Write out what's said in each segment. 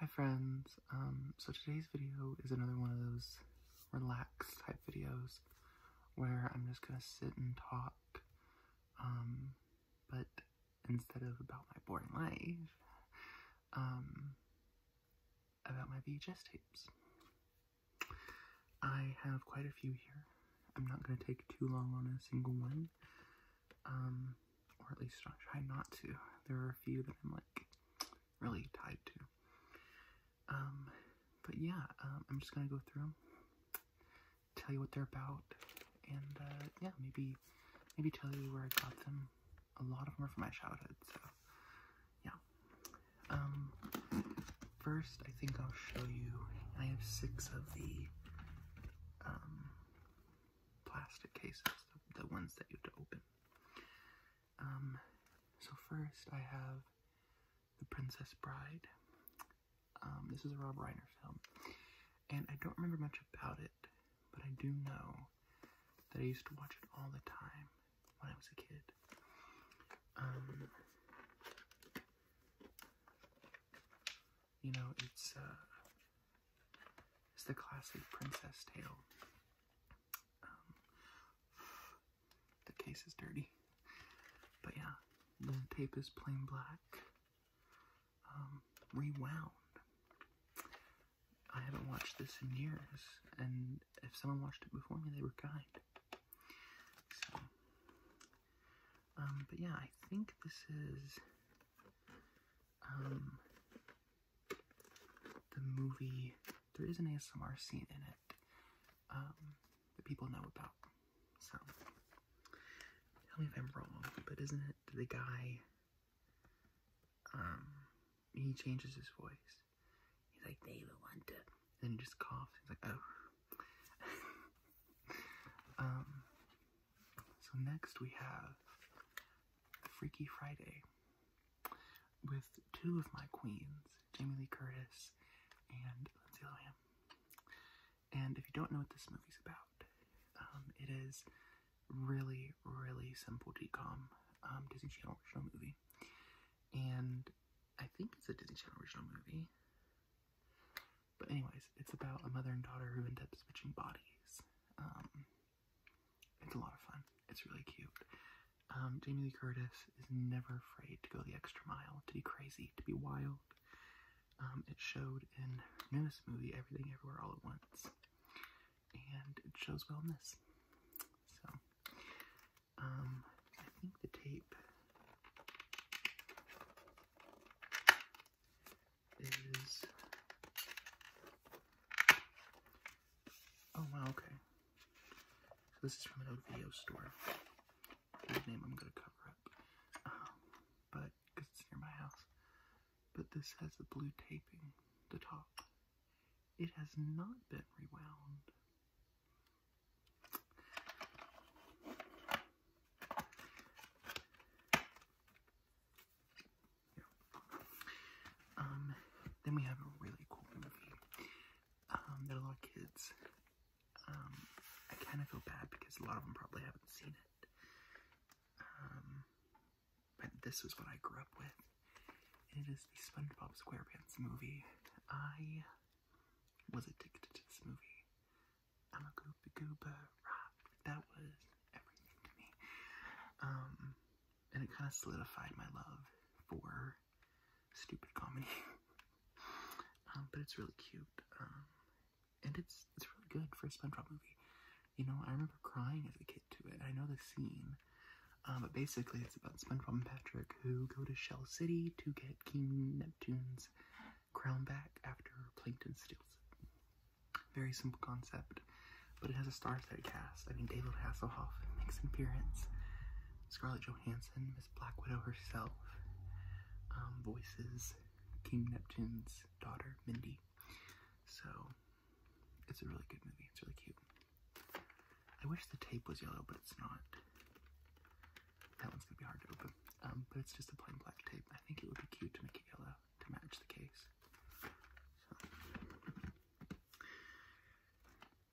Hi friends, um, so today's video is another one of those relaxed type videos where I'm just gonna sit and talk, um, but instead of about my boring life, um, about my VHS tapes. I have quite a few here. I'm not gonna take too long on a single one um, or at least I try not to. There are a few that I'm like really tied to. Um, but yeah, um, I'm just gonna go through them, tell you what they're about, and uh, yeah, maybe maybe tell you where I got them. A lot of them are from my childhood, so yeah. Um, first, I think I'll show you. I have six of the um, plastic cases the ones that you have to open. Um, so first I have The Princess Bride. Um, this is a Rob Reiner film, and I don't remember much about it, but I do know that I used to watch it all the time when I was a kid. Um, you know, it's uh, it's the classic princess tale. Um, the case is dirty, but yeah, the tape is plain black, um, rewound. I haven't watched this in years, and if someone watched it before me, they were kind. So, um, but yeah, I think this is um, the movie, there is an ASMR scene in it um, that people know about. So, tell me if I'm wrong, but isn't it the guy, um, he changes his voice. He's like, they will to, and he just coughs. He's like, oh. um, so next we have Freaky Friday with two of my queens, Jamie Lee Curtis and Lindsay Lohan. And if you don't know what this movie's about, um, it is really, really simple DCOM um, Disney Channel original movie. And I think it's a Disney Channel original movie. But anyways, it's about a mother and daughter who end up switching bodies. Um, it's a lot of fun. It's really cute. Um, Jamie Lee Curtis is never afraid to go the extra mile, to be crazy, to be wild. Um, it showed in Menace movie, Everything Everywhere All at Once. And it shows well in this. So, um, I think the tape Oh, wow, okay. this is from an old video store. name I'm going to cover up. Um, but, it's near my house. But this has the blue taping, the top. It has not been rewound. Um, then we have a really cool movie um, that a lot of kids, um, I kind of feel bad because a lot of them probably haven't seen it. Um, but this was what I grew up with. And it is the SpongeBob SquarePants movie. I was addicted to this movie. I'm a Gooba goober. That was everything to me. Um, and it kind of solidified my love for stupid comedy. Um, but it's really cute. Um, and it's it's really good for a SpongeBob movie. You know, I remember crying as a kid to it. I know the scene. but basically, it's about SpongeBob and Patrick who go to Shell City to get King Neptune's crown back after Plankton steals it. Very simple concept, but it has a star-studded cast. I mean, David Hasselhoff makes an appearance. Scarlett Johansson, Miss Black Widow herself, um, voices King Neptune's daughter, Mindy. So, it's a really good movie. It's really cute. I wish the tape was yellow, but it's not. That one's gonna be hard to open. Um, but it's just a plain black tape. I think it would be cute to make it yellow to match the case.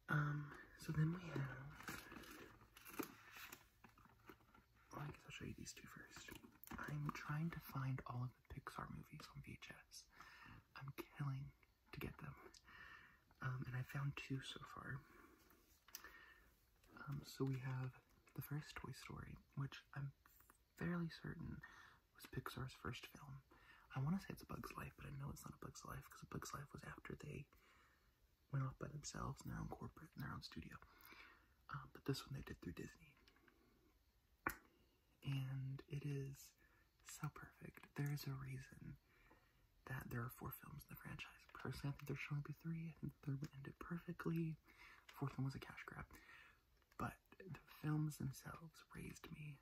Um, so then we have. Well, I guess I'll show you these two first. I'm trying to find all of the Pixar movies on VHS. I'm killing to get them. Um, and I found two so far. Um, so we have the first Toy Story, which I'm fairly certain was Pixar's first film. I want to say it's Bug's Life, but I know it's not A Bug's Life because A Bug's Life was after they went off by themselves in their own corporate, in their own studio. Uh, but this one they did through Disney. And it is so perfect. There is a reason that there are four films in the franchise. Personally, I think there should only be three. I think the third one ended perfectly. The fourth one was a cash grab. But the films themselves raised me.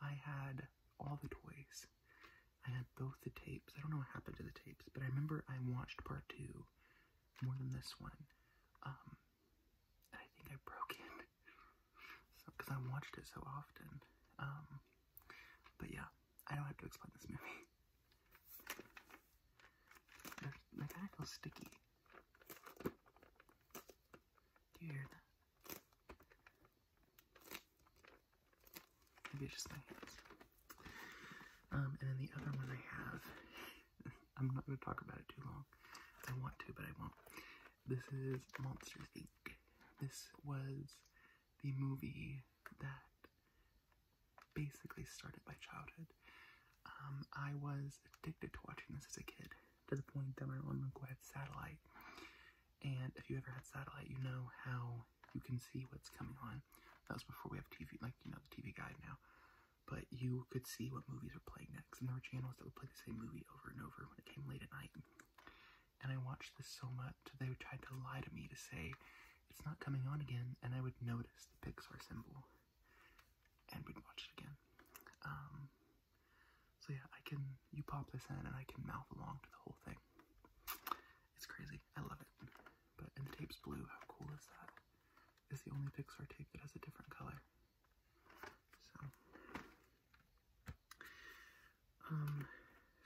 I had all the toys. I had both the tapes. I don't know what happened to the tapes, but I remember I watched part two more than this one. Um, I think I broke it. Because I watched it so often. Um, but yeah, I don't have to explain this movie. They're, feel sticky. Do you hear that? Maybe just my hands. Um, and then the other one I have, I'm not going to talk about it too long. I want to, but I won't. This is Monsters Inc. This was the movie that basically started my childhood. Um, I was addicted to watching this as a kid to the point that we're on liquid satellite. And if you ever had satellite, you know how you can see what's coming on. That was before we have TV, like you know the TV guide now. But you could see what movies are playing next, and there were channels that would play the same movie over and over when it came late at night. And I watched this so much that they tried to lie to me to say it's not coming on again, and I would notice the Pixar symbol and we would watch it again. Um, so yeah, I can you pop this in and I can mouth along to the whole thing. It's crazy. I love it. But and the tape's blue. How cool is that? It's the only Pixar tape that has a different color. So um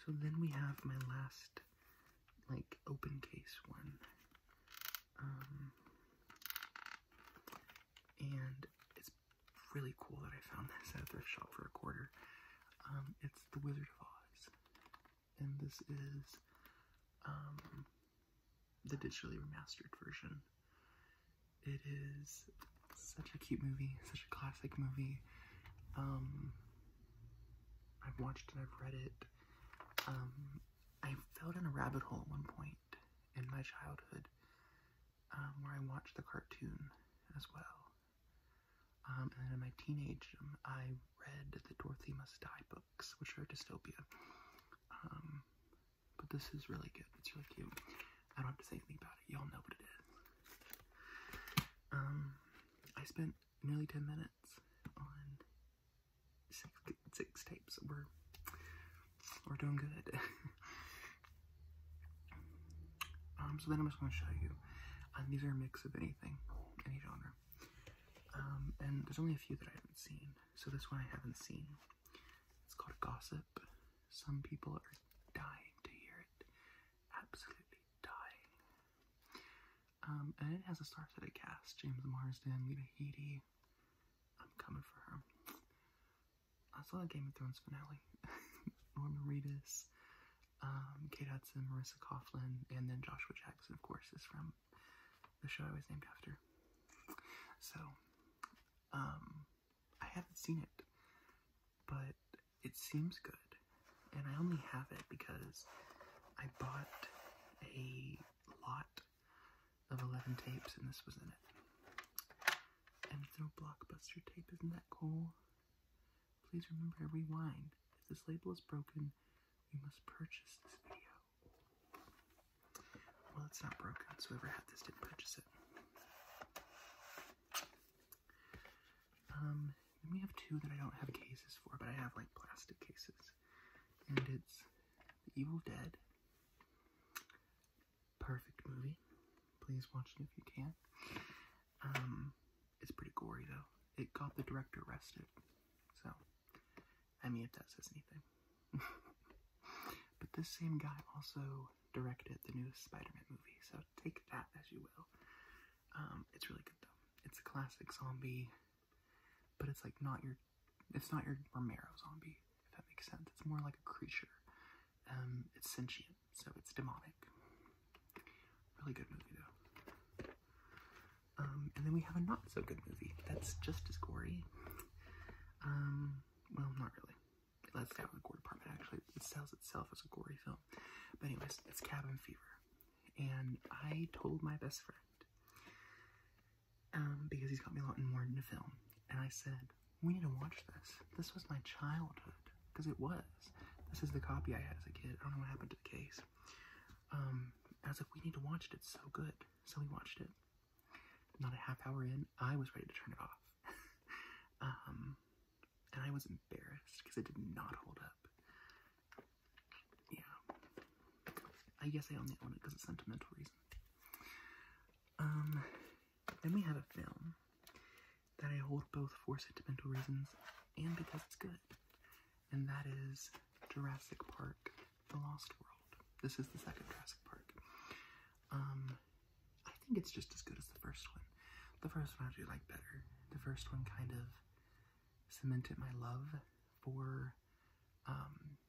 so then we have my last like open case one. Um, and it's really cool that I found this at a thrift shop for a quarter. Um, it's The Wizard of Oz, and this is um, the digitally remastered version. It is such a cute movie, such a classic movie. Um, I've watched it, I've read it. I fell down a rabbit hole at one point in my childhood um, where I watched the cartoon as well. Um, and then in my teenage, um, I read the Dorothy Must Die books, which are dystopia. but this is really good. It's really cute. I don't have to say anything about it. Y'all know what it is. I spent nearly 10 minutes on six, tapes. We're we're doing good. Um, so then I'm just going to show you. Um, these are a mix of anything, any genre. Um, and there's only a few that I haven't seen. So this one I haven't seen. It's called Gossip. Some people are dying to hear it. Absolutely dying. Um, and it has a star-studded cast. James Marsden, Lita Headey. I'm coming for her. I saw the Game of Thrones finale. Norman Reedus, um, Kate Hudson, Marissa Coughlin, and then Joshua Jackson, of course, is from the show I was named after. So, um, I haven't seen it, but it seems good. And I only have it because I bought a lot of 11 tapes and this was in it. And if no blockbuster tape, isn't that cool? Please remember to rewind. If this label is broken, you must purchase this video. Well, it's not broken, so whoever had this didn't purchase it. Um, we have two that I don't have cases for, but I have like plastic cases. And it's The Evil Dead perfect movie. Please watch it if you can. Um, it's pretty gory though. It got the director arrested, so I mean, it does us anything. but this same guy also directed the new Spider-Man movie, so take that as you will. Um, it's really good though. It's a classic zombie, but it's like not your, it's not your Romero zombie if that makes sense. It's more like a creature. Um, it's sentient, so it's demonic. Really good movie though. Um, and then we have a not so good movie that's just as gory. Um, well, not really. That's out of the gore department. Actually, it sells itself as a gory film. But anyways, it's Cabin Fever, and I told my best friend um, because he's got me a lot more into film, and I said, we need to watch this. This was my childhood, because it was. This is the copy I had as a kid. I don't know what happened to the case. Um, I was like, we need to watch it. It's so good. So we watched it. Not a half hour in, I was ready to turn it off. Um, and I was embarrassed because it did not hold up. Yeah. I guess I only own it because of sentimental reasons. Um, then we have a film that I hold both for sentimental reasons and because it's good, and that is Jurassic Park The Lost World. This is the second Jurassic Park. Um, I think it's just as good as the first one. The first one I do like better. The first one kind of cemented my love for um,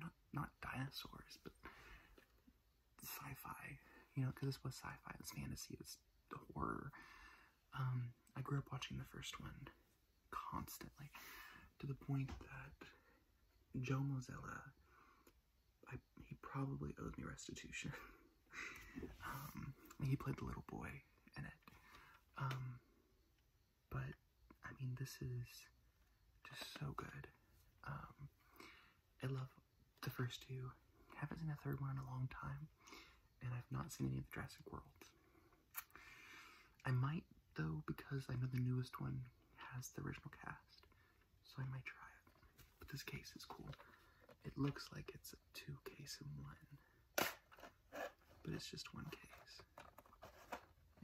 not not dinosaurs, but sci-fi, you know, because this was sci-fi, it's fantasy, it's horror. Um, I grew up watching the first one constantly, to the point that Joe Mozella, I, he probably owed me restitution. um, he played the little boy in it. Um, but I mean, this is just so good. Um, I love the first two. Haven't seen a third one in a long time, and I've not seen any of the Jurassic World. I might though because I know the newest one has the original cast, so I might try it. But this case is cool. It looks like it's a two case in one, but it's just one case.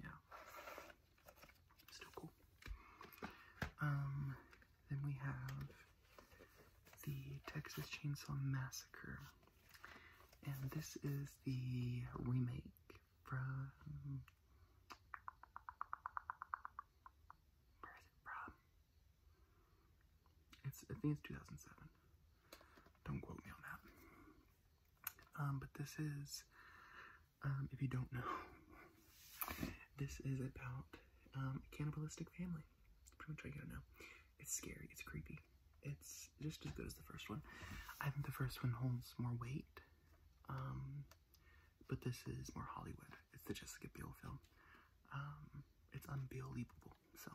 Yeah, Still cool. Um, then we have the Texas Chainsaw Massacre, and this is the remake from. Where is it from? It's I think it's two thousand seven. Don't quote me on that. Um, but this is um, if you don't know, this is about um, a cannibalistic family. That's pretty much all you gotta know. It's scary. It's creepy. It's just as good as the first one. I think the first one holds more weight, um, but this is more Hollywood. It's the Jessica Biel film. it's unbelievable. So,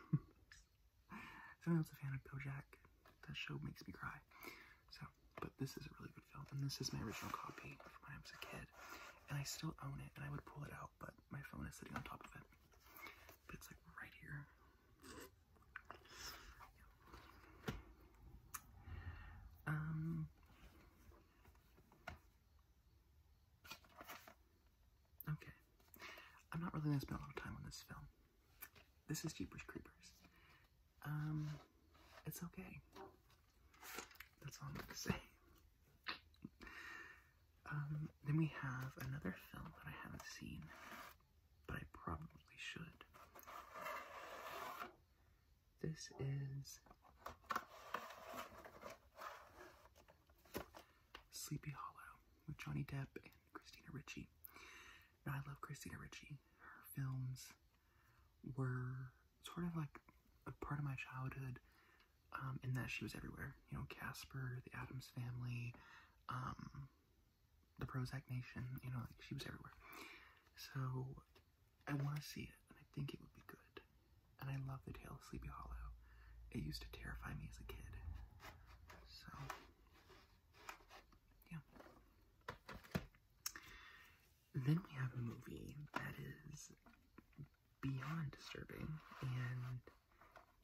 someone else a fan of Jack, That show makes me cry. So, but this is a really good film, and this is my original copy from when I was a kid, and I still own it, and I would pull it out, but my phone is sitting on top of it. But it's like right here. Um. Okay. I'm not really gonna spend a lot of time on this film. This is Jeepers Creepers um, it's okay. That's all I'm gonna say. Um, then we have another film that I haven't seen, but I probably should. This is Sleepy Hollow with Johnny Depp and Christina Ricci. I love Christina Ricci. Her films were sort of like a part of my childhood um, in that she was everywhere. You know, Casper, the Adams family, um, the Prozac Nation, you know, like she was everywhere. So I want to see it, and I think it would be good. And I love the tale of Sleepy Hollow. It used to terrify me as a kid. So, yeah. Then we have a movie that is beyond disturbing and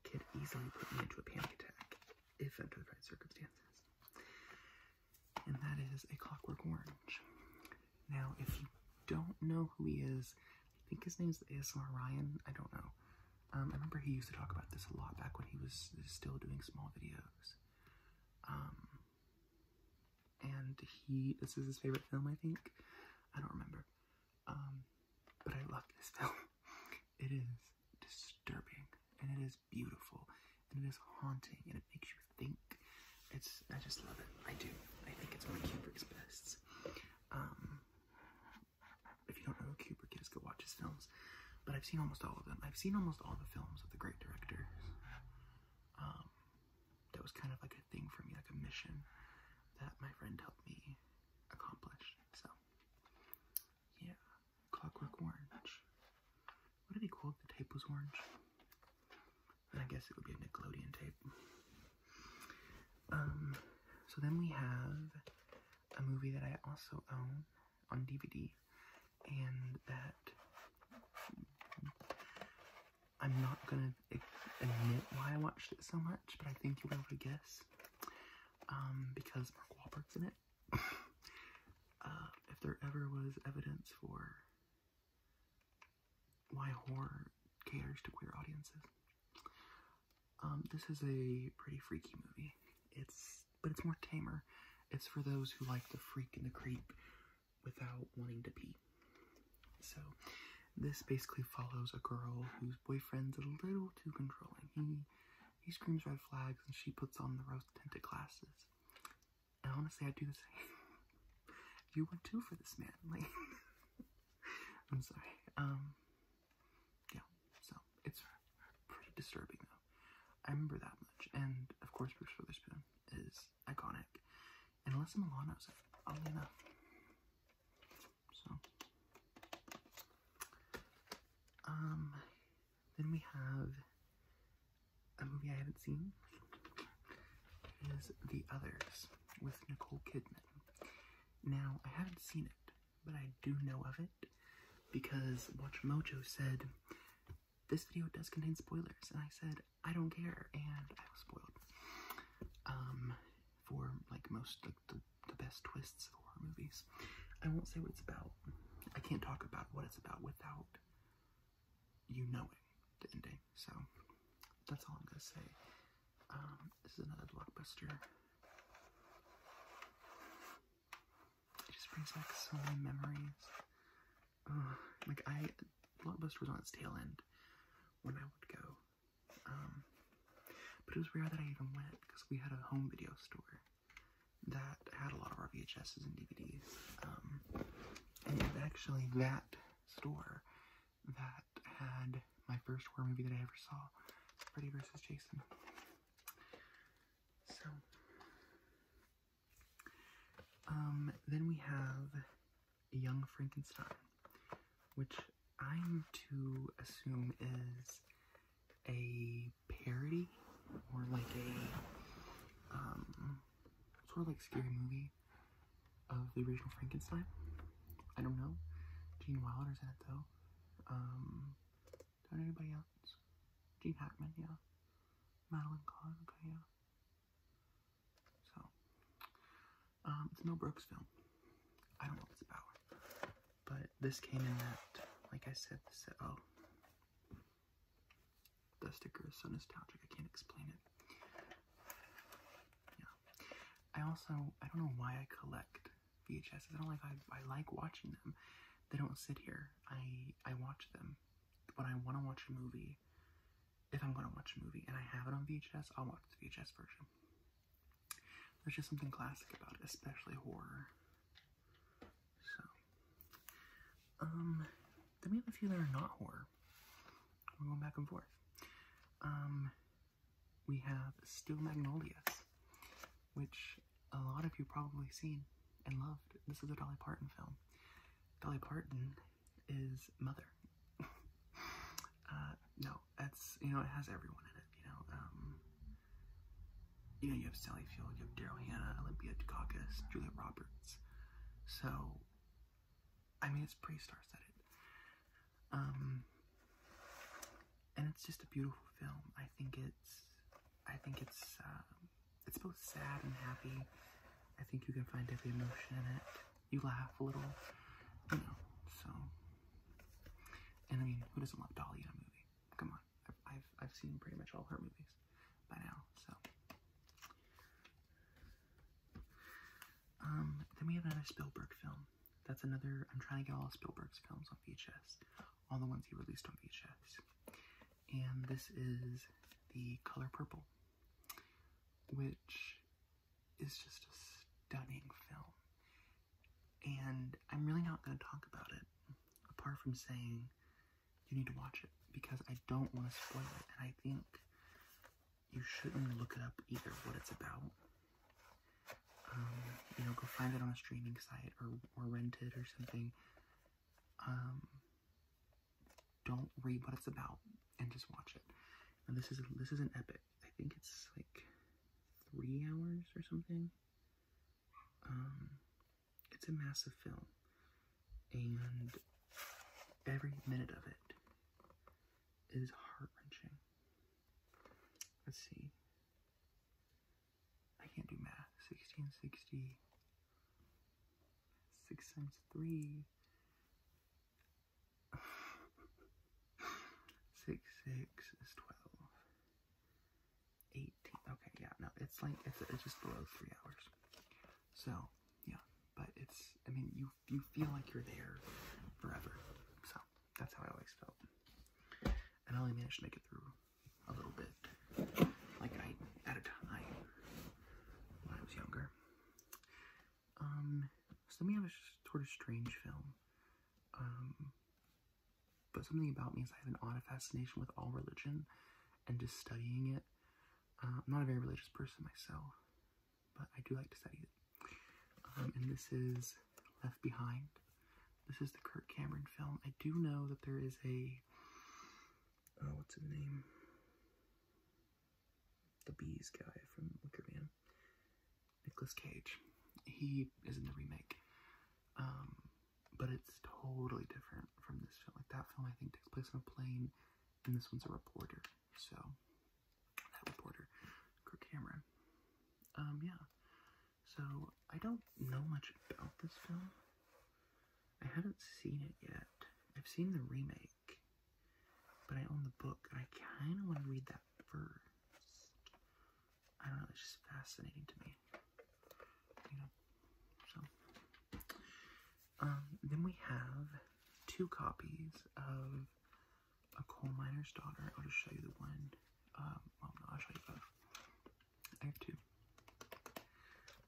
could easily put me into a panic attack if under the right circumstances. And that is A Clockwork Orange. Now, if you don't know who he is, I think his name's ASMR Ryan. I don't know. Um, I remember he used to talk about this a lot back when he was still doing small videos. Um, and he this is his favorite film I think I don't remember um, but I love this film it is disturbing and it is beautiful and it is haunting and it makes you think it's I just love it I do I think it's one of Kubrick's best um, if you don't know who Kubrick is go watch his films but I've seen almost all of them I've seen almost all the films of the great directors um, that was kind of like a thing for me, like a mission that my friend helped me accomplish. So, yeah, Clockwork Orange. What did he call it? The tape was orange. I guess it would be a Nickelodeon tape. Um, so then we have a movie that I also own on DVD, and that I'm not gonna admit why I watched it so much, but I think you'll be able to guess. Um, because Mark Wahlberg's in it. Uh, if there ever was evidence for why horror caters to queer audiences, um, this is a pretty freaky movie. It's but it's more tamer. It's for those who like the freak and the creep without wanting to be, So, this basically follows a girl whose boyfriend's a little too controlling. He he screams red flags, and she puts on the rose tinted glasses. And honestly, I do the same. you went too for this man, like. I'm sorry. Um. Yeah. So it's pretty disturbing though. I remember that much, and of course, Bruce Witherspoon is iconic. And Alyssa Milano's it, oddly enough. So, um, then we have a movie I haven't seen is The Others with Nicole Kidman. Now, I haven't seen it, but I do know of it because Watch Mojo said this video does contain spoilers, and I said I don't care, and I was spoiled. Um, for like most like the, the best twists of horror movies, I won't say what it's about. I can't talk about what it's about without you knowing the ending. So that's all I'm gonna say. Um, this is another blockbuster. It just brings back so many memories like I, Blockbuster was on its tail end when I would go, um, but it was rare that I even went because we had a home video store that had a lot of our VHSs and DVDs, um, and it actually that store that had my first horror movie that I ever saw, Freddy vs. Jason. So, um, then we have Young Frankenstein, which I'm to assume is a parody or like a um, sort of like scary movie of the original Frankenstein. I don't know. Gene Wilder's in it though. Um, anybody else? Gene Hackman, yeah. Madeline Kahn, okay, yeah. So, um, it's Mel Brooks film. I don't know it's about, but this came in that, like I said, oh, the sticker is so nostalgic I can't explain it. Yeah, I also I don't know why I collect VHS. I don't like I I like watching them. They don't sit here. I I watch them but I want to watch a movie if I'm going to watch a movie and I have it on VHS, I'll watch the VHS version. There's just something classic about it, especially horror. So, um, then we have a few that are not horror. We're going back and forth. Um, we have *Still Magnolias, which a lot of you probably seen and loved. This is a Dolly Parton film. Dolly Parton is Mother. Uh, no, that's, you know, it has everyone in it, you know, um, you know, you have Sally Field, you have Daryl Hannah, Olympia Dukakis, Juliet Roberts, so, I mean, it's pretty star-studded, um, and it's just a beautiful film, I think it's, I think it's, uh, it's both sad and happy, I think you can find every emotion in it, you laugh a little, you know, so. And I mean, who doesn't love Dolly in a movie? Come on, I've, I've, seen pretty much all her movies by now, so. Um, then we have another Spielberg film. That's another, I'm trying to get all of Spielberg's films on VHS, all the ones he released on VHS. And this is The Color Purple which is just a stunning film. And I'm really not going to talk about it, apart from saying you need to watch it because I don't want to spoil it, and I think you shouldn't look it up either what it's about. Um, you know, go find it on a streaming site or, or rent it or something. Um, don't read what it's about and just watch it. And this is this is an epic. I think it's like three hours or something. Um, it's a massive film, and every minute of it is heart wrenching. Let's see. I can't do math. 1660, 6 times 3, six, six is 12. 18. Okay, yeah, no, it's like, it's, just below three hours. So, yeah, but it's, I mean, you, you feel like you're there forever. So, that's how I always felt. And I only managed to make it through a little bit. Like, I, at a time when I was younger. Um, so me, have a sort of strange film. Um, but something about me is I have an odd fascination with all religion and just studying it. Uh, I'm not a very religious person myself, but I do like to study it. Um, and this is Left Behind. This is the Kurt Cameron film. I do know that there is a, uh, what's his name? the bees guy from Wicker Man, Nicolas Cage. He is in the remake, um, but it's totally different from this film. Like that film, I think takes place on a plane, and this one's a reporter. So that reporter, Kirk Cameron. Um, yeah. So I don't know much about this film. I haven't seen it yet. I've seen the remake. But I own the book. I kind of want to read that first. I don't know. It's just fascinating to me. You know. So. Um, then we have two copies of A Coal Miner's Daughter. I'll just show you the one. Um. I'll show you both. I have two.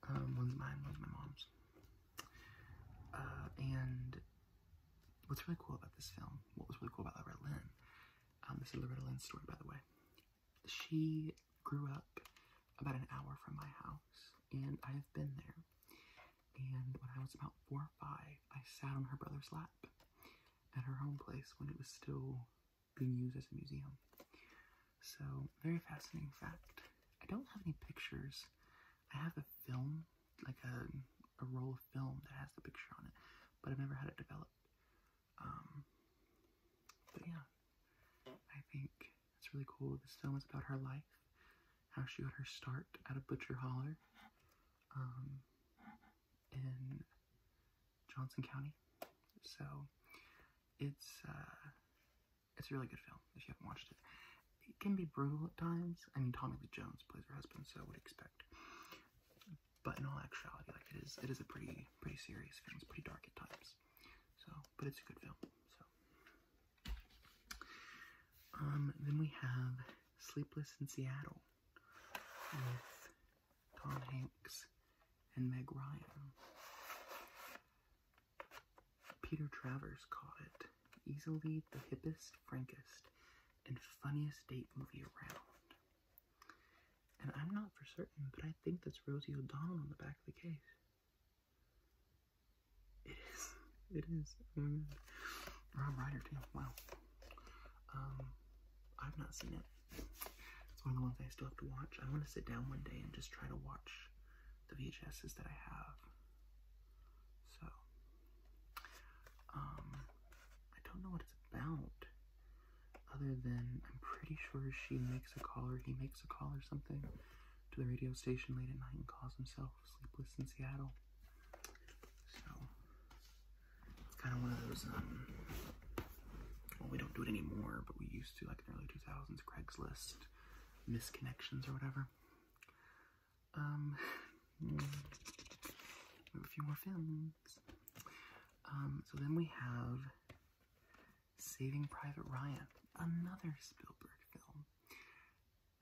Um, one's mine. One's my mom's. Uh, and what's really cool about this film, what was really cool about Loretta Lynn, um, this is Loretta Lynn's story, by the way. She grew up about an hour from my house, and I have been there. And when I was about four or five, I sat on her brother's lap at her home place when it was still being used as a museum. So, very fascinating fact. I don't have any pictures I have a film, like a a roll of film that has the picture on it, but I've never had it developed. Um, but yeah, I think it's really cool. This film is about her life, how she got her start at a butcher holler um, in Johnson County. So it's uh, it's a really good film if you haven't watched it. It can be brutal at times. I mean, Tommy Lee Jones plays her husband, so I would expect. But in all actuality, like it is, it is a pretty, pretty serious film. It's pretty dark at times. So, but it's a good film. So, um, then we have Sleepless in Seattle with Tom Hanks and Meg Ryan. Peter Travers caught it easily the hippest, frankest, and funniest date movie around. And I'm not for certain, but I think that's Rosie O'Donnell on the back of the case. It is. It is. Oh my god. Rob Ryder, too. Wow. Um, I've not seen it. It's one of the ones I still have to watch. I want to sit down one day and just try to watch the VHSs that I have. So, um, I don't know what it's about, other than I'm pretty sure she makes a call or he makes a call or something to the radio station late at night and calls himself Sleepless in Seattle. So, it's kind of one of those, um, well, we don't do it anymore, but we used to, like in the early 2000s, Craigslist misconnections or whatever. Um, a few more films. Um, so then we have Saving Private Ryan, another Spielberg film.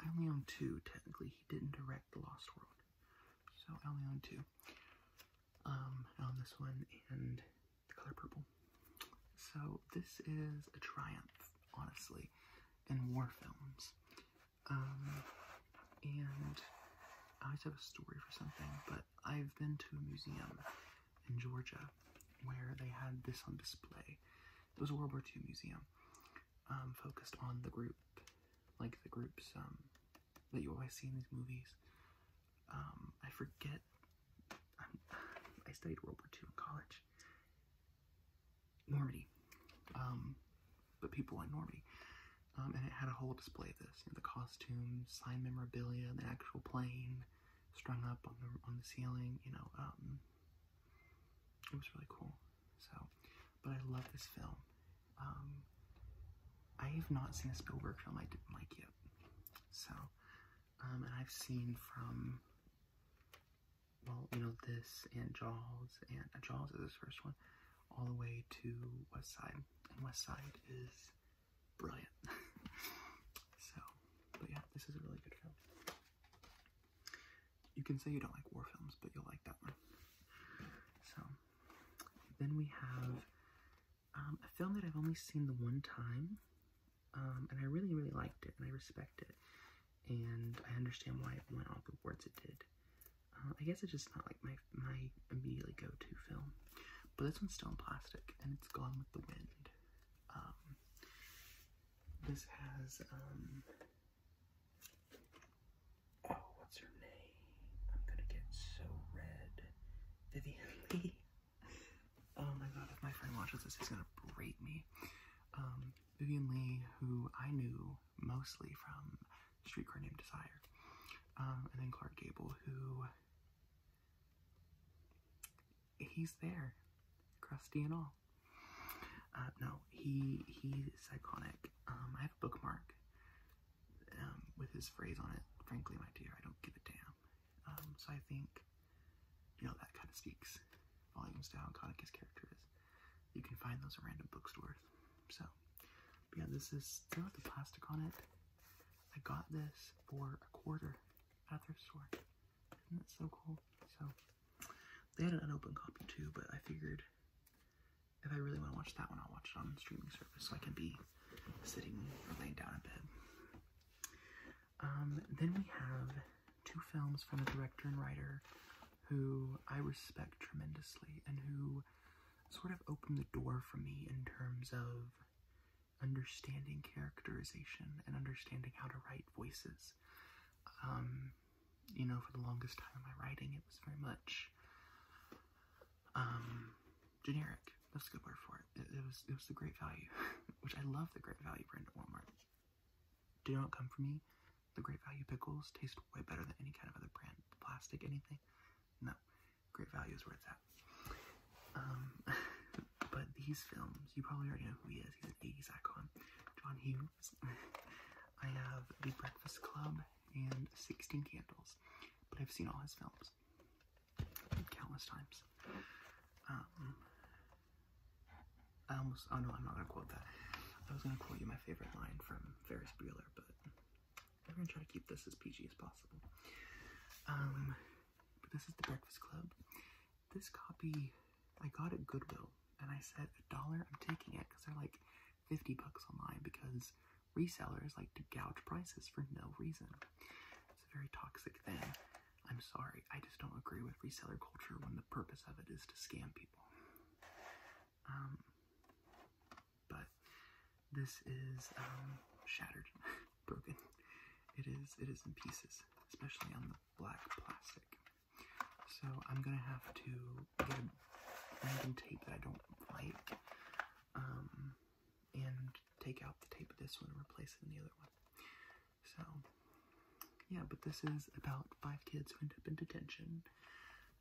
I only own two, technically. He didn't direct The Lost World. So I only own two. Um, I this one and The Color Purple. So this is a triumph, honestly, in war films. Um, and I always have a story for something, but I've been to a museum in Georgia where they had this on display. It was a World War II museum, um, focused on the group, like the groups um, that you always see in these movies. Um, I forget. i I studied World War II in college, Normandy. but um, people in Normandy. Um, and it had a whole display of this, the costumes, sign memorabilia, the actual plane strung up on the on the ceiling, you know, um, it was really cool. So, but I love this film. I have not seen a Spielberg film I didn't like yet. So, and I've seen from well, you know, this and Jaws, and uh, Jaws is his first one, all the way to West Side. And West Side is brilliant. so, but yeah, this is a really good film. You can say you don't like war films, but you'll like that one. So, then we have um, a film that I've only seen the one time, um, and I really, really liked it, and I respect it and I understand why it went all the awards it did. Uh, I guess it's just not like my my immediately go-to film, but this one's still in plastic and it's Gone with the Wind. Um, this has um, Oh, what's her name? I'm gonna get so red. Vivian Lee. oh my god, if my friend watches this, he's gonna rate me. Um, Vivian Lee, who I knew mostly from Streetcar Named Desire, um, and then Clark Gable, who he's there, crusty and all. Uh, no, he he's iconic. Um, I have a bookmark um, with his phrase on it. Frankly, my dear, I don't give a damn. so I think you know that kind of speaks volumes to how iconic his character is. You can find those at random bookstores. So, yeah, this is still with the plastic on it. I got this for a quarter at their store. Isn't that so cool? So, they had an unopened copy too, but I figured if I really want to watch that one, I'll watch it on the streaming service so I can be sitting or laying down in bed. Um, then we have two films from a director and writer who I respect tremendously and who sort of opened the door for me in terms of understanding characterization and understanding how to write voices. Um, you know, for the longest time in my writing, it was very much um, generic. That's a good word for it. It, was it was the great value, which I love the great value brand at Walmart. Did not come from me. The Great Value pickles taste way better than any kind of other brand, plastic, anything. No, Great Value is where it's at. Um, but these films, you probably already know who he is. He's an 80s icon, John Hughes. I have The Breakfast Club and 16 Candles, but I've seen all his films countless times. Um, I almost, oh no, I'm not gonna quote that. I was gonna quote you my favorite line from Ferris Bueller, but we're gonna try to keep this as PG as possible. Um, but this is the Breakfast Club. This copy I got at Goodwill, and I said a dollar. I'm taking it because they're like fifty bucks online because resellers like to gouge prices for no reason. It's a very toxic thing. I'm sorry, I just don't agree with reseller culture when the purpose of it is to scam people. Um, but this is um, shattered, broken. It is. It is in pieces, especially on the black plastic. So I'm gonna have to get a random tape that I don't like, um, and take out the tape of this one and replace it in the other one. So, yeah, but this is about five kids who end up in detention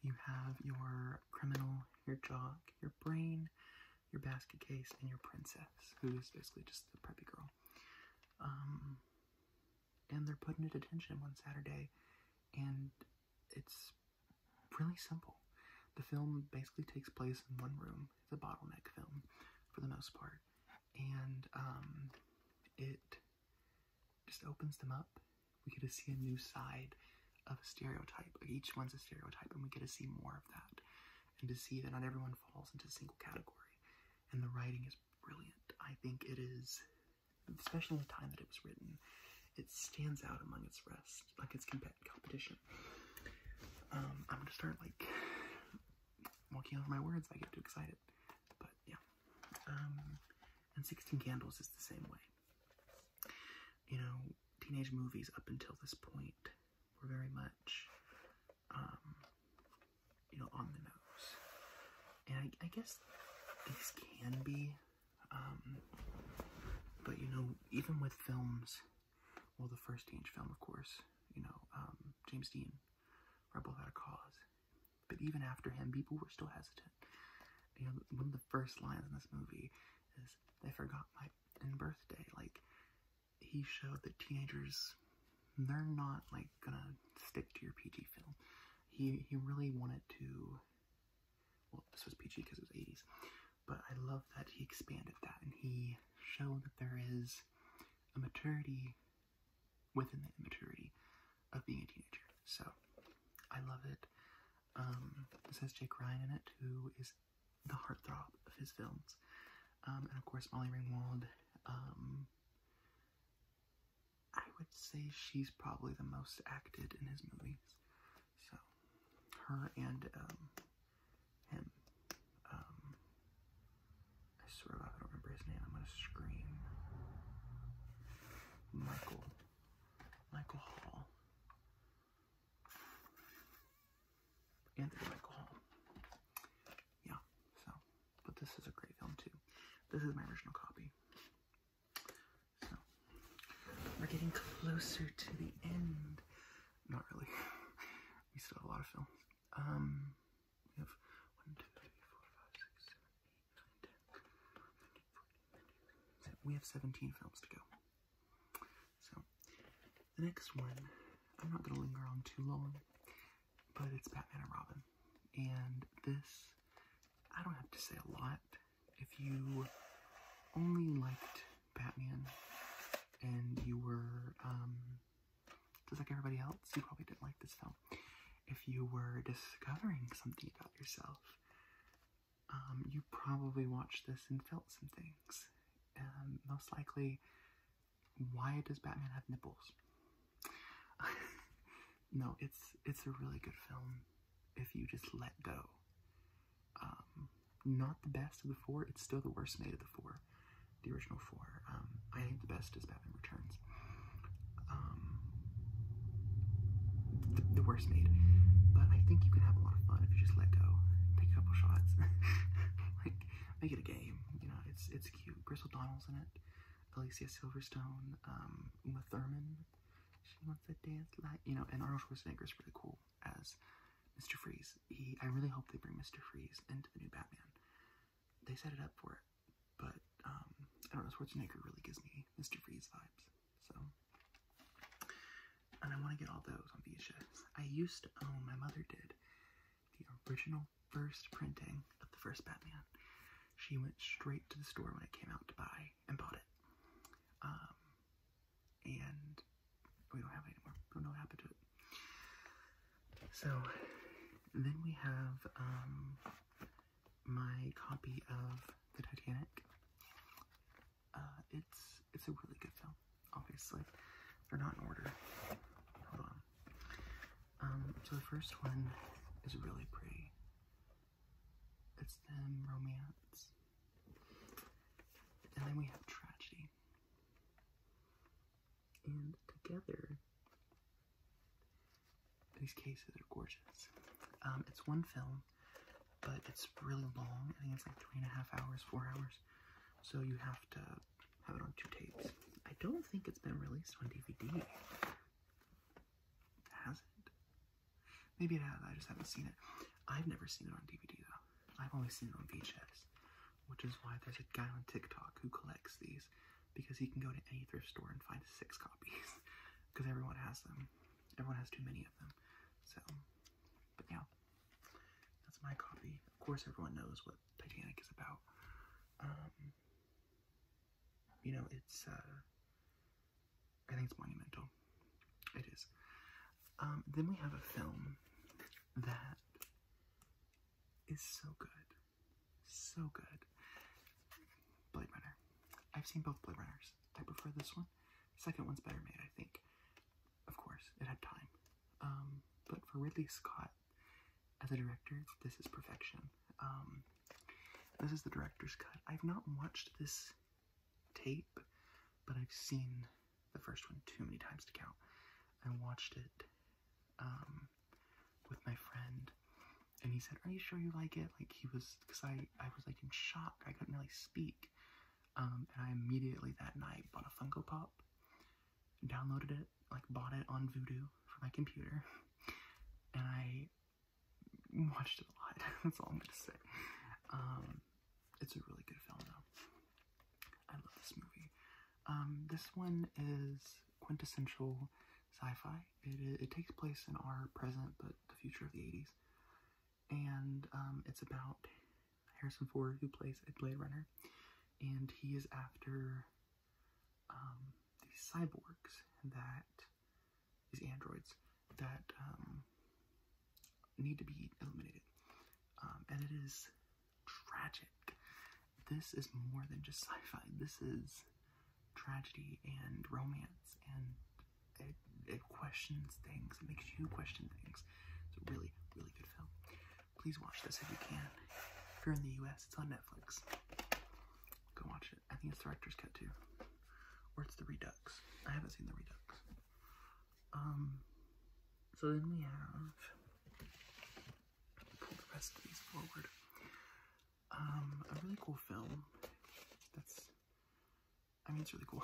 you have your criminal, your jock, your brain, your basket case, and your princess, who is basically just the preppy girl. Um, and they're put into detention one Saturday, and it's really simple. The film basically takes place in one room. It's a bottleneck film, for the most part, and um, it just opens them up. We get to see a new side of a stereotype. each one's a stereotype, and we get to see more of that, and to see that not everyone falls into a single category. And the writing is brilliant. I think it is, especially in the time that it was written, it stands out among its rest, like its comp competition. Um, I'm gonna start like walking over my words I get too excited, but yeah. Um, and 16 Candles is the same way. You know, teenage movies up until this point were very much, um, you know, on the nose. And I, guess these can be, um, but you know, even with films, well, the first teenage film, of course, you know, um, James Dean, Rebel Without a Cause, but even after him, people were still hesitant. You know, one of the first lines in this movie is "I forgot my birthday. Like, he showed that teenagers, they're not like gonna stick to your PG film. He he really wanted to. Well, this was PG because it was 80s, but I love that he expanded that and he showed that there is a maturity within the immaturity of being a teenager. So I love it. Um, it has Jake Ryan in it, who is the heartthrob of his films. Um, and of course, Molly Ringwald. Um, I would say she's probably the most acted in his movies. So, her and um, him. Um, I swear I don't remember his name. I'm gonna scream. Michael Michael Hall. Anthony Michael Hall. Yeah, so, but this is a great film too. This is my original copy. So, we're getting closer to the end. Not really. we still have a lot of films. Um, we have one, two, three, four, five, six, seven, we have 17 films to go. So, the next one, I'm not going to linger on too long, but it's Batman and Robin. And this, I don't have to say a lot. If you only liked Batman and you were um, just like everybody else, you probably didn't like this film. If you were discovering something about yourself, um, you probably watched this and felt some things. Um, most likely, why does Batman have nipples? no, it's it's a really good film if you just let go. Um, not the best of the four. It's still the worst made of the four, the original four. I think the best is Batman Returns. Um, the, worst made. But I think you can have a lot of fun if you just let go, take a couple shots, like make it a game. You know, it's it's cute. Chris Donalds in it. Alicia Silverstone, um, Uma Thurman. She wants a dance light. you know. And Arnold Schwarzenegger is really cool as Mr. Freeze. He, I really hope they bring Mr. Freeze into the new Batman. They set it up for it, but um, I don't know. Schwarzenegger really gives me Mr. Freeze vibes. So and I want to get all those on VHS. I used to own, my mother did, the original first printing of the first Batman. She went straight to the store when it came out to buy and bought it. Um, and we don't have anymore. Don't know what happened to it. So, then we have um, my copy of The Titanic. Uh, it's it's a really good film. Obviously, they're not in order. Hold on. Um, so the first one is really pretty. It's them romance, and then we have tragedy, and together these cases are gorgeous. Um, it's one film but it's really long. I think it's like three and a half hours, four hours. So you have to have it on two tapes. I don't think it's been released on DVD. Has it? Maybe it has. I just haven't seen it. I've never seen it on DVD though. I've only seen it on VHS, which is why there's a guy on TikTok who collects these because he can go to any thrift store and find six copies because everyone has them. Everyone has too many of them of So, but yeah, that's my copy. Of course, everyone knows what Titanic is about. Um, you know, it's, uh, I think it's monumental. It is. Um, then we have a film that is so good. So good. Blade Runner. I've seen both Blade Runners. I prefer this one one. Second one's better made, I think. Of course, it had time. Um, but for Ridley Scott, as a director, this is perfection. Um, this is the director's cut. I've not watched this tape, but I've seen the first one too many times to count. I watched it um, with my friend, and he said, "Are you sure you like it?" Like he was, because I I, was like in shock. I couldn't really speak. Um, and I immediately that night bought a Funko Pop, downloaded it, like bought it on Voodoo for my computer, and I watched it a lot. That's all I'm gonna say. Um, it's a really good film though. I love this movie. Um, this one is quintessential sci-fi. It, it, it takes place in our present, but the future of the 80s and um, it's about Harrison Ford, who plays a Blade Runner, and he is after um, these cyborgs that these androids that um, need to be eliminated, um, and it is tragic. This is more than just sci-fi. This is tragedy and romance and it, questions things, it makes you question things. It's a really, really good film. Please watch this if you can. If you're in the US, it's on Netflix. Go watch it. I think it's director's cut too. Or it's the Redux. I haven't seen the Redux. Um, so then we have pull the rest of these forward. Um, a really cool film that's I mean, it's really cool.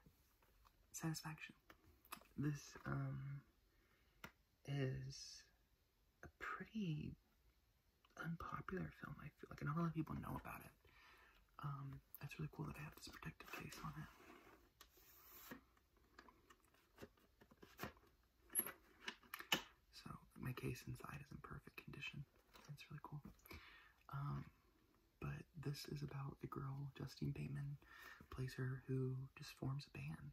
Satisfaction. This, um, is a pretty unpopular film, I feel like, not a lot of people know about it. Um, it's really cool that I have this protective case on it. So, my case inside is in perfect condition. That's really cool. Um, but this is about a girl, Justine Bateman, plays her, who just forms a band.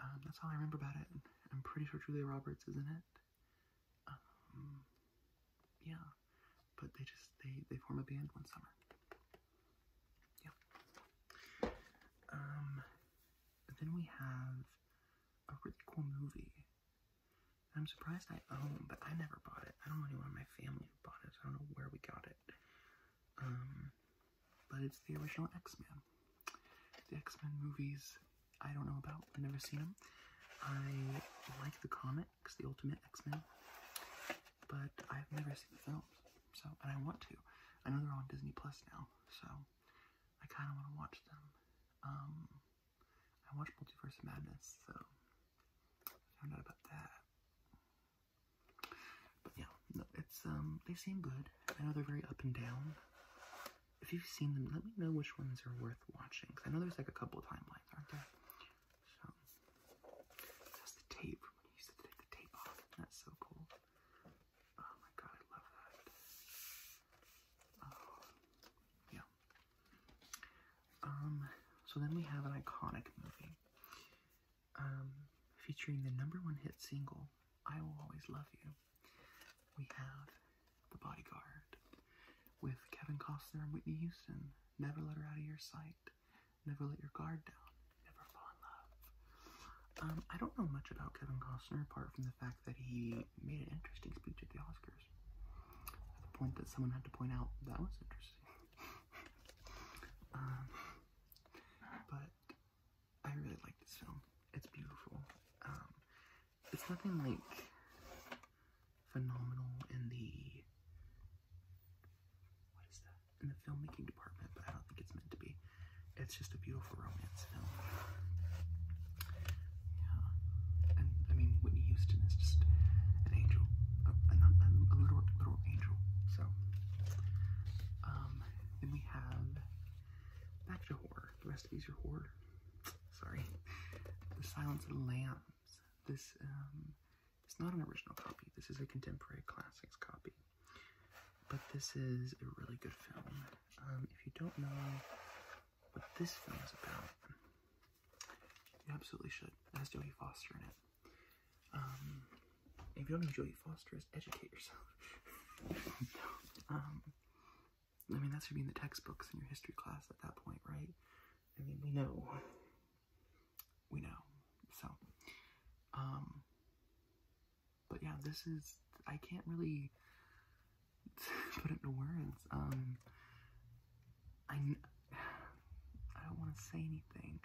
Um, that's all I remember about it. I'm pretty sure Julia Roberts is in it. Um, yeah, but they just they they form a band one summer. Yeah. Um, then we have a really cool movie I'm surprised I own, but I never bought it. I don't know anyone in my family bought it, I don't know where we got it. Um, but it's the original X-Men. The X-Men movies I don't know about. I've never seen them. I like the comics, the Ultimate X-Men, but I've never seen the films. So, and I want to. I know they're on Disney Plus now, so I kind of want to watch them. Um, I watched Multiverse Madness, so I found out about that. But yeah, no, it's um, they seem good. I know they're very up and down. If you've seen them, let me know which ones are worth watching. Cause I know there's like a couple timelines, aren't there? that's the tape when you used to take the tape off. That's so cool. Oh my god, I love that. Oh, yeah. Um, so then we have an iconic movie um, featuring the number one hit single, I Will Always Love You. We have The Bodyguard with Kevin Costner and Whitney Houston. Never let her out of your sight. Never let your guard down. Never fall in love. Um, I don't know much about Kevin Costner apart from the fact that he made an interesting speech at the Oscars. At the point that someone had to point out that was interesting. Um, but I really like this film. It's beautiful. Um, it's nothing like phenomenal in the what is that in the filmmaking department, but I don't think it's meant to be. It's just a beautiful romance film. Yeah. And I mean, Whitney Houston is just an angel, a, little, little angel. So, um, then we have back to horror. The rest of these are horror. Sorry, The Silence of the Lambs. This um, it's not an original copy. This is a contemporary classics copy. But this is a really good film. Um, if you don't know what this film is about, you absolutely should. It has Jodie Foster in it. Um, if you don't know who Jodie Foster educate yourself. Um, I mean, that should be in the textbooks in your history class at that point, right? I mean, we know. We know. So, um, but yeah, this is, I can't really put it into words. I, I don't want to say anything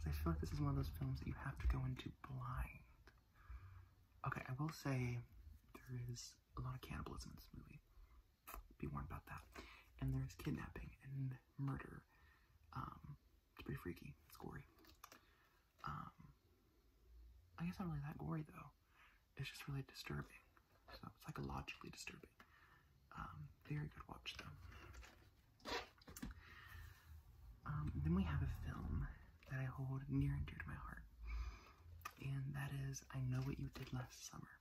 because I feel like this is one of those films that you have to go into blind. Okay, I will say there is a lot of cannibalism in this movie. Be warned about that. And there's kidnapping and murder. Um, it's pretty freaky. It's gory. Um, I guess not really that gory though. It's just really disturbing. So it's psychologically disturbing. Um, very good watch though. Um, then we have a film that I hold near and dear to my heart, and that is I Know What You Did Last Summer.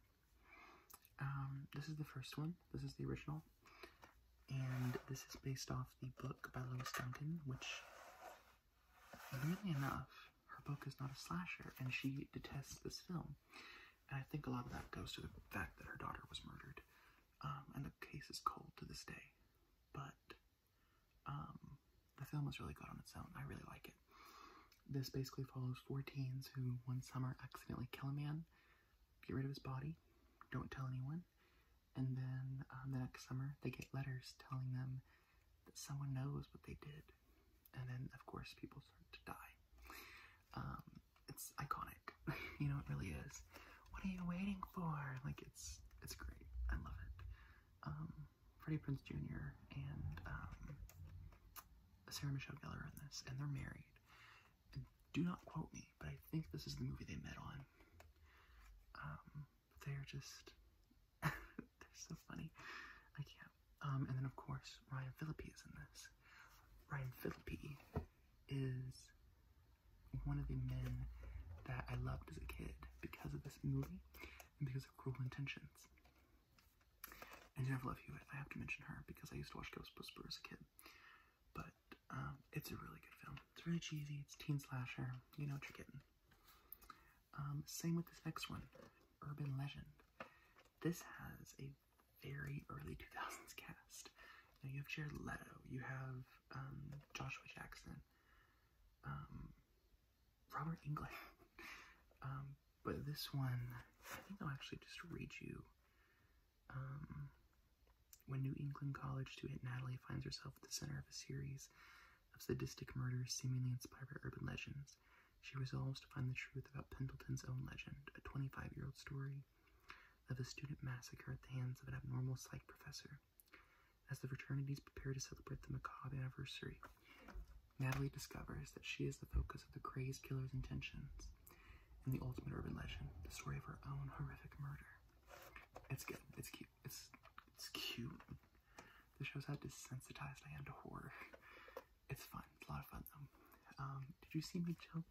Um, this is the first one, this is the original, and this is based off the book by Lois Duncan, which, weirdly enough, her book is not a slasher, and she detests this film. And I think a lot of that goes to the fact that her daughter was murdered. Um, and the case is cold to this day. But um, the film is really good on its own. I really like it. This basically follows four teens who one summer accidentally kill a man, get rid of his body, don't tell anyone, and then um, the next summer they get letters telling them that someone knows what they did. And then, of course, people start to die it's iconic. you know, it really is. What are you waiting for? Like, it's it's great. I love it. Um, Freddie Prince Jr. and um, Sarah Michelle Gellar are in this, and they're married. do not quote me, but I think this is the movie they met on. Um, they're just they're so funny. I can't. Um, and then of course Ryan Phillippe is in this. Ryan Philippi is one of the men that I loved as a kid because of this movie and because of Cruel Intentions. And Jennifer Love Hewitt, I have to mention her because I used to watch Ghostbusters as a kid. But um, it's a really good film. It's really cheesy, it's teen slasher, you know what you're getting. Um, same with this next one, Urban Legend. This has a very early 2000s cast. Now you have Jared Leto, you have um, Joshua Jackson, um, Robert Englund. Um, but this one, I think I'll actually just read you. when New England college student Natalie finds herself at the center of a series of sadistic murders seemingly inspired by urban legends, she resolves to find the truth about Pendleton's own legend, a 25 year old story of a student massacre at the hands of an abnormal psych professor. As the fraternities prepare to celebrate the macabre anniversary, Natalie discovers that she is the focus of the crazed killer's intentions and the ultimate urban legend, the story of her own horrific murder. It's good. It's cute. It's, it's cute. The shows how desensitized I am to horror. It's fun. It's a lot of fun though. Um, did you see me jump?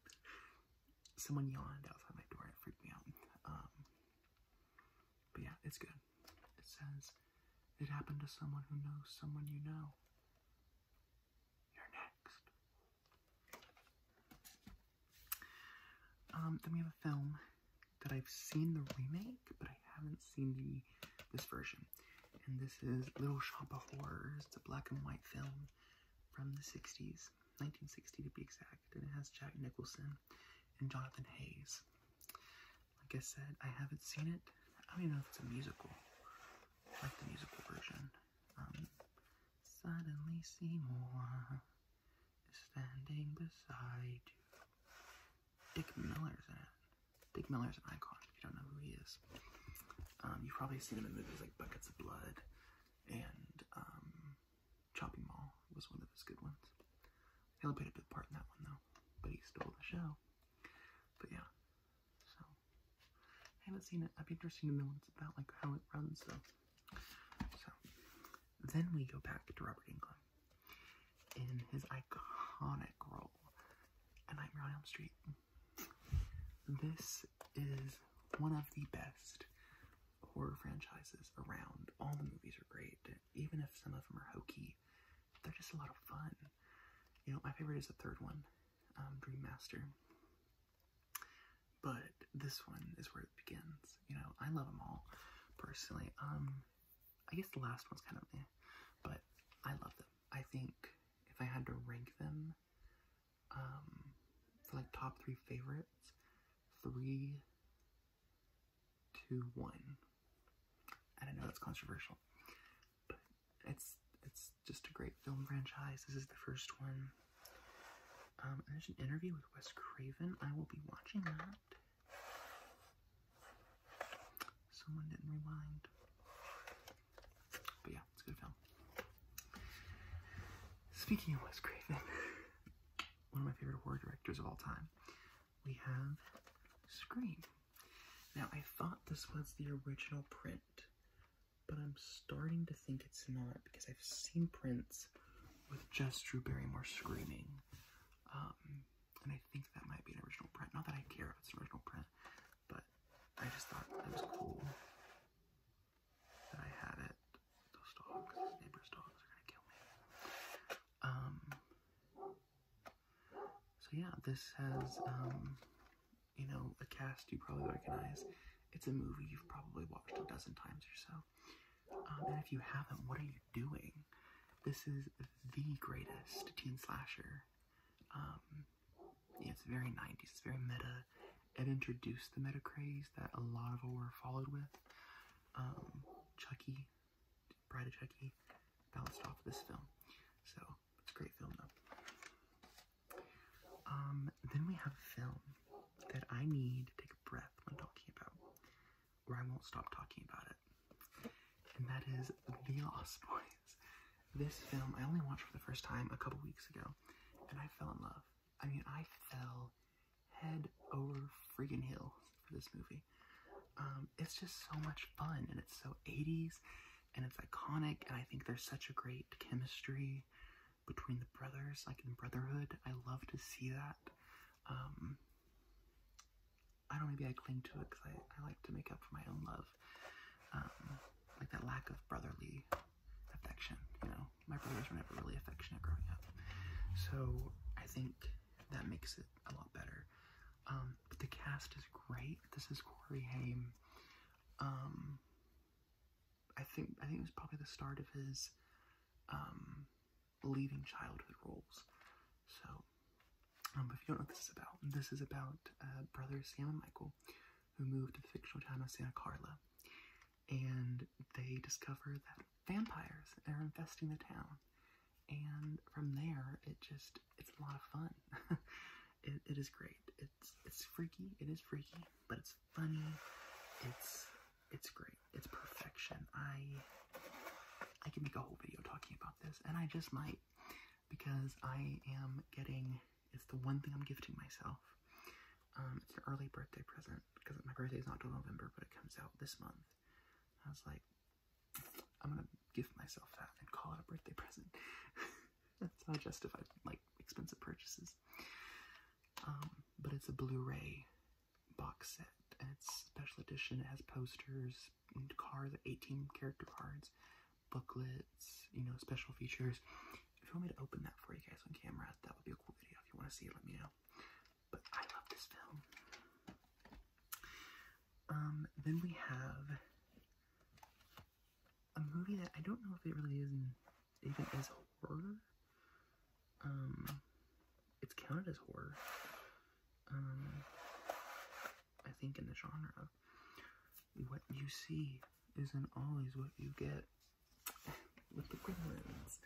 Someone yawned outside my door and freaked me out. Um, but yeah, it's good. It says it happened to someone who knows someone you know. You're next. Um, then we have a film that I've seen the remake, but I haven't seen the this version. And this is Little Shop of Horrors. It's a black and white film from the 60s, 1960 to be exact, and it has Jack Nicholson and Jonathan Hayes. Like I said, I haven't seen it. I don't even know if it's a musical. like the musical version. Um, Suddenly Seymour is standing beside you. Dick Miller's in it. Dick Miller's an icon. If you don't know who he is, um, you've probably seen him in movies like Buckets of Blood and um, Chopping Mall was one of his good ones. He played a big part in that one though, but he stole the show. But yeah, so I haven't seen it. I'd be interested to know what it's about, like how it runs though. So then we go back to Robert Englund in his iconic role Nightmare on Elm Street. This is one of the best horror franchises around. All the movies are great, even if some of them are hokey. They're just a lot of fun. You know, my favorite is the third one, um, Dream Master. But this one is where it begins. You know, I love them all, personally. Um, I guess the last one's kind of meh, but I love them. I think if I had to rank them, um, for like top three favorites. Three, two, one. I don't know. That's controversial, but it's it's just a great film franchise. This is the first one. Um, there's an interview with Wes Craven. I will be watching that. Someone didn't rewind. But yeah, it's a good film. Speaking of Wes Craven, one of my favorite horror directors of all time, we have Scream. Now, I thought this was the original print, but I'm starting to think it's not because I've seen prints with just Drew Barrymore screaming. Um, and I think that might be an original print. Not that I care if it's an original print, but I just thought that was cool that I had it. Those dogs, neighbors' dogs, are gonna kill me. Um. So yeah, this has um, you know, a cast you probably recognize. It's a movie you've probably watched a dozen times or so. Um, and if you haven't, what are you doing? This is the greatest teen slasher. Um, it's very 90s, it's very meta. It introduced the meta craze that a lot of were followed with. Um, Chucky, Bride of Chucky, bounced off this film. So, it's a great film though. Um, then we have a film that I need to take a breath when talking about, where I won't stop talking about it. And that is The Lost Boys. This film I only watched for the first time a couple weeks ago, and I fell in love. I mean, I fell head over freaking hill for this movie. Um, it's just so much fun, and it's so 80s, and it's iconic, and I think there's such a great chemistry between the brothers, like in Brotherhood. I love to see that. Um, I don't maybe I cling to it because I, like to make up for my own love. Um, like that lack of brotherly affection. You know, my brothers were never really affectionate growing up, so I think that makes it a lot better. Um, but the cast is great. This is Corey Haim. Um, I think I think it's probably the start of his um, leaving childhood roles. So, um, if you don't know what this is about, this is about uh, brothers Sam and Michael, who moved to the fictional town of Santa Carla, and they discover that vampires are infesting the town. And from there, it just, it's a lot of fun. it, it is great. It's, it's freaky, it is freaky, but it's funny. It's, it's great. It's perfection. I, I can make a whole video talking about this, and I just might, because I am getting it's the one thing I'm gifting myself. Um, it's an early birthday present because my birthday is not till November, but it comes out this month. I was like, I'm gonna give myself that and call it a birthday present. That's not justified, like expensive purchases. Um, but it's a Blu-ray box set and it's special edition. It has posters, cards, 18 character cards, booklets, you know, special features. If you want me to open that for you guys on camera, that would be a cool video. If you want to see it, let me know. But I love this film. Um, then we have a movie that I don't know if it really is even is horror. Um, it's counted as horror. Um, I think in the genre of what you see isn't always what you get with the gremlins.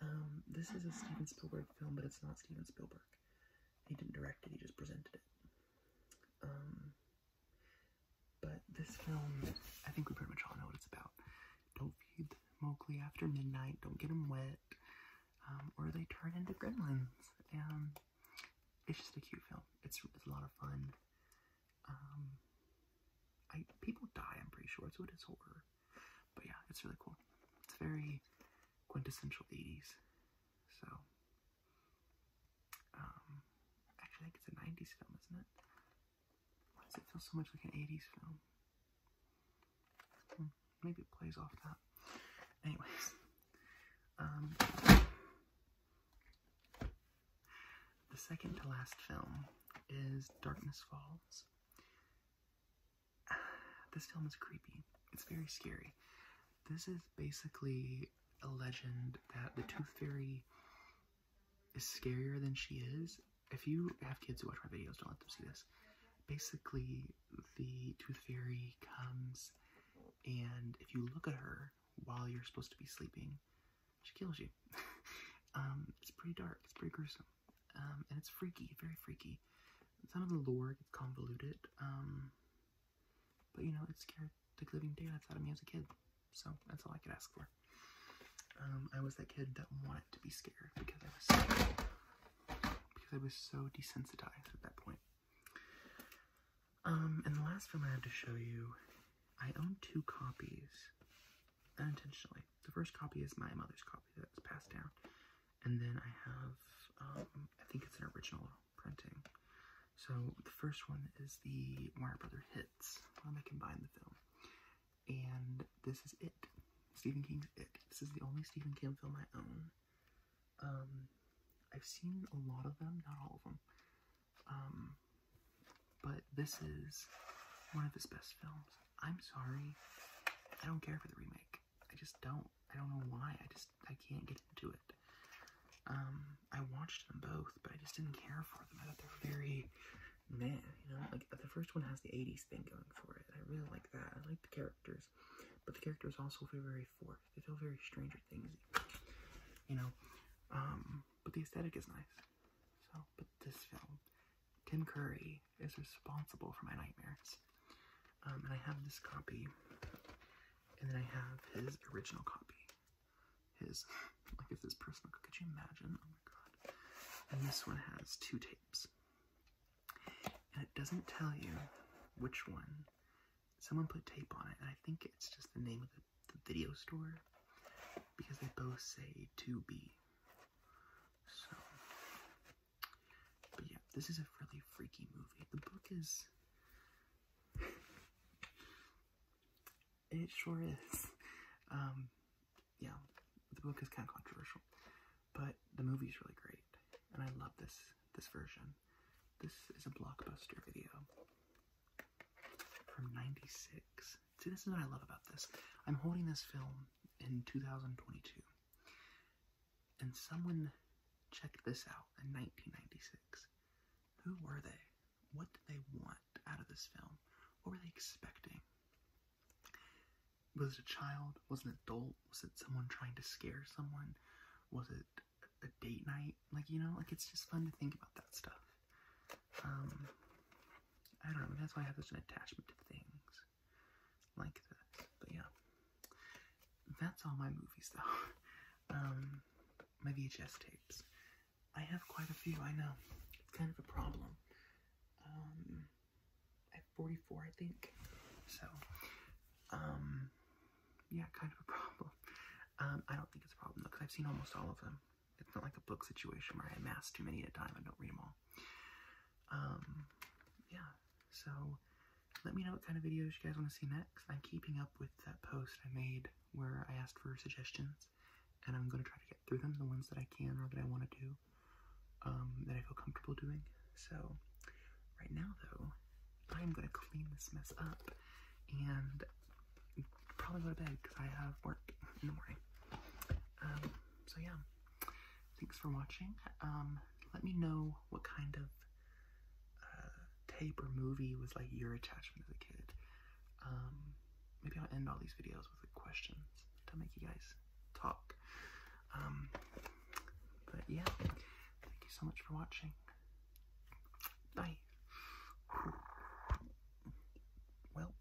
Um, this is a Steven Spielberg film, but it's not Steven Spielberg. He didn't direct it, he just presented it. Um, but this film, I think we pretty much all know what it's about. Don't feed Mowgli after midnight, don't get him wet, um, or they turn into gremlins. And it's just a cute film. It's, it's a lot of fun. Um, I people die. I'm pretty sure that's what it's horror. But yeah, it's really cool. It's very quintessential 80s. So, um, actually, it's a 90s film, isn't it? Why does it feel so much like an 80s film? Hmm, maybe it plays off that. Anyways, um, the second to last film is Darkness Falls. This film is creepy. It's very scary. This is basically a legend that the Tooth Fairy is scarier than she is. If you have kids who watch my videos, don't let them see this. Basically, the Tooth Fairy comes and if you look at her while you're supposed to be sleeping, she kills you. Um, it's pretty dark. It's pretty gruesome. Um, and it's freaky, very freaky. Some of the lore gets convoluted. Um, but you know, it scared the living daylights out of me as a kid. So that's all I could ask for. I was that kid that wanted to be scared because I was so, because I was so desensitized at that point. and the last film I had to show you I own two copies unintentionally. The first copy is my mother's copy that was passed down, and then I have, um, I think it's an original printing. So the first one is the Warner Brother Hits, when they combine the film, and this is it. Stephen King's It. This is the only Stephen King film I own. Um, I've seen a lot of them, not all of them. Um, but this is one of his best films. I'm sorry, I don't care for the remake. I just don't. I don't know why. I just I can't get into it. Um, I watched them both, but I just didn't care for them. I thought they're very man, you know, like the first one has the 80s thing going for it. I really like that. I like the characters, but the characters also feel very forced. They feel very Stranger Things, you know. Um, but the aesthetic is nice. So, but this film, Tim Curry is responsible for my nightmares. Um, and I have this copy, and then I have his original copy. His, like, if this person Could you imagine? Oh my god! And this one has two tapes, and it doesn't tell you which one. Someone put tape on it, and I think it's just the name of the, the video store because they both say 2B. So, but yeah, this is a really freaky movie. The book is. It sure is. Um, yeah, the book is kind of controversial, but the movie is really great, and I love this this version. This is a blockbuster video from '96. See, this is what I love about this. I'm holding this film in 2022, and someone checked this out in 1996. Who were they? What did they want out of this film? What were they expecting? Was it a child? Was it an adult? Was it someone trying to scare someone? Was it a date night? Like, you know, like it's just fun to think about that stuff. Um, I don't know, that's why I have such an attachment to things like that. But yeah, that's all my movies though. Um, my VHS tapes. I have quite a few, I know. It's kind of a problem. Um, I have 44, I think. So, um, yeah, kind of a problem. Um, I don't think it's a problem though, because I've seen almost all of them it's not like a book situation where I amass too many at a time and don't read them all. Um, yeah, so let me know what kind of videos you guys want to see next. I'm keeping up with that post I made where I asked for suggestions, and I'm going to try to get through them, the ones that I can or that I want to do, um, that I feel comfortable doing. So, right now, though, I'm going to clean this mess up and probably go to bed because I have work in the morning. Um, so yeah thanks for watching um, let me know what kind of uh, tape or movie was like your attachment as a kid um, maybe i'll end all these videos with a question to make you guys talk um, but yeah thank you so much for watching bye well